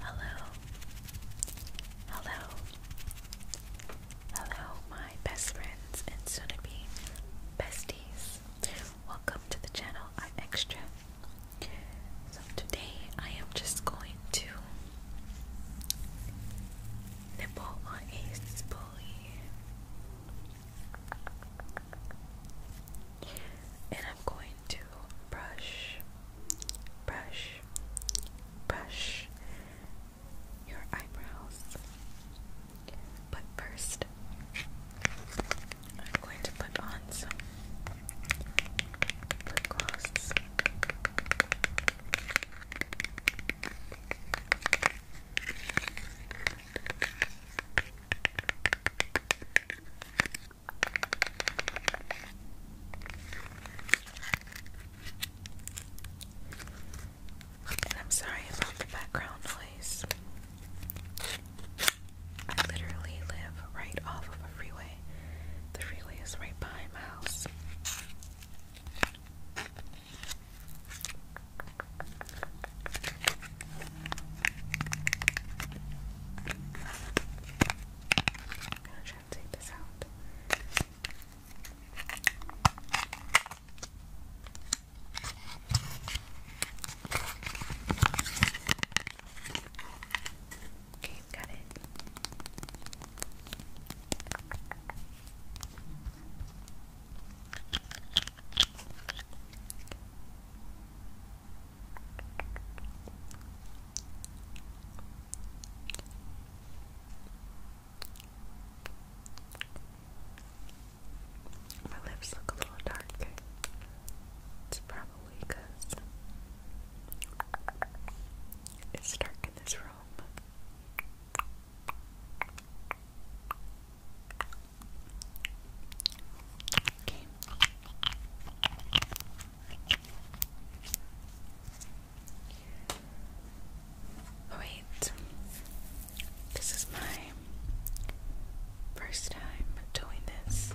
Hello, hello, hello, my best friends and soon to be besties. Welcome to the channel. I'm Extra. So, today I am just going to nibble on a spoolie and I'm going to brush, brush, brush your eyebrows. But first, I'm going to put on some lip gloss. I'm sorry about the background noise. I literally live right off of a freeway. The freeway is right behind my house. I'm gonna try and take this out. Okay, got it. My lips look a little dark. It's probably it's dark in this room. Okay. Oh, wait. This is my first time doing this.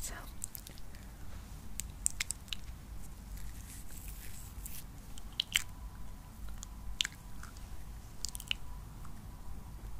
So.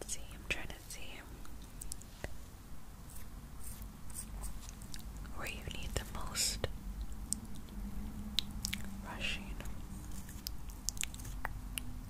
Let's see, I'm trying to see where you need the most brushing.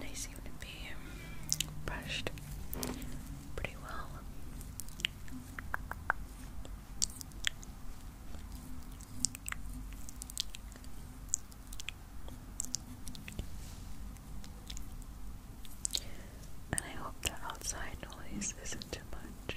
They seem to be um, brushed pretty well. And I hope the outside noise isn't too much.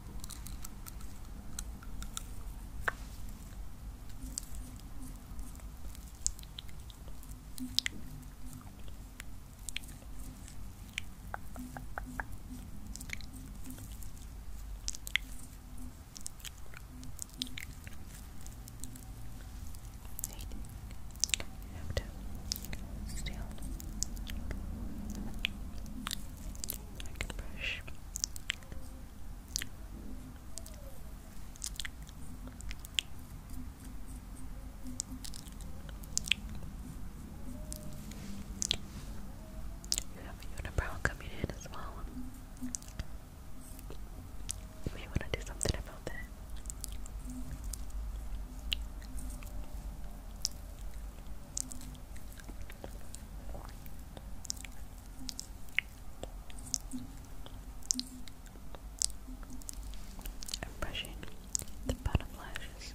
You have to steal. I You have a unibrow coming in as well. You may want to do something about that. I'm brushing the bottom lashes.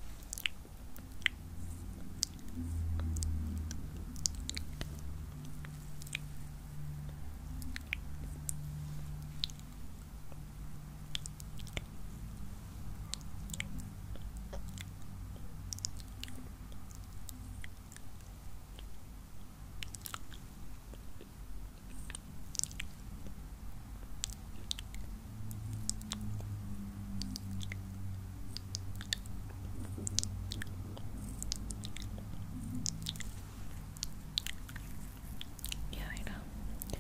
Yeah, I know.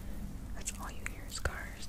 That's all you hear is cars.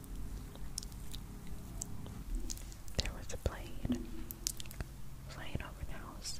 There was a plane flying over the house.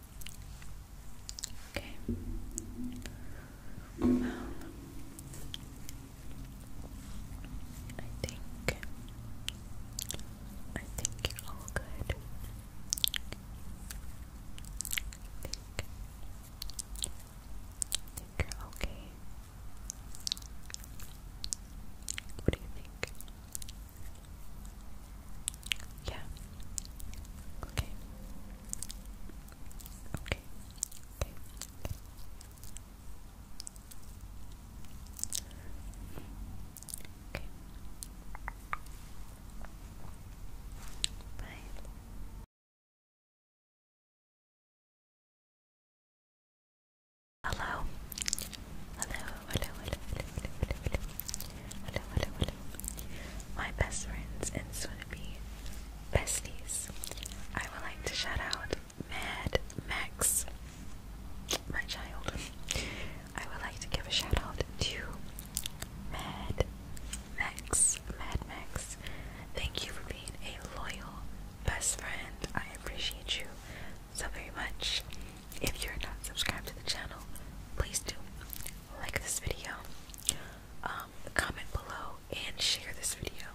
Okay. I think I think you're all good. I think I think you're okay. What do you think? Yeah. Okay. Okay. Okay. Okay. Okay. Bye. Hello. Hello, hello, hello, hello, hello, hello, hello, my best friends and soon be besties. I would like to shout out Mad Max, my child. I would like to give a shout out to Mad Max, Mad Max. Thank you for being a loyal best friend. I appreciate you so very much. If you're not subscribed to the channel, please do like this video, um, comment below, and share this video.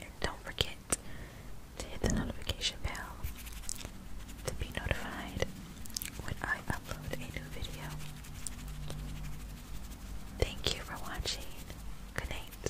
And don't forget to hit the notification bell to be notified when I upload a new video. Thank you for watching. Good night.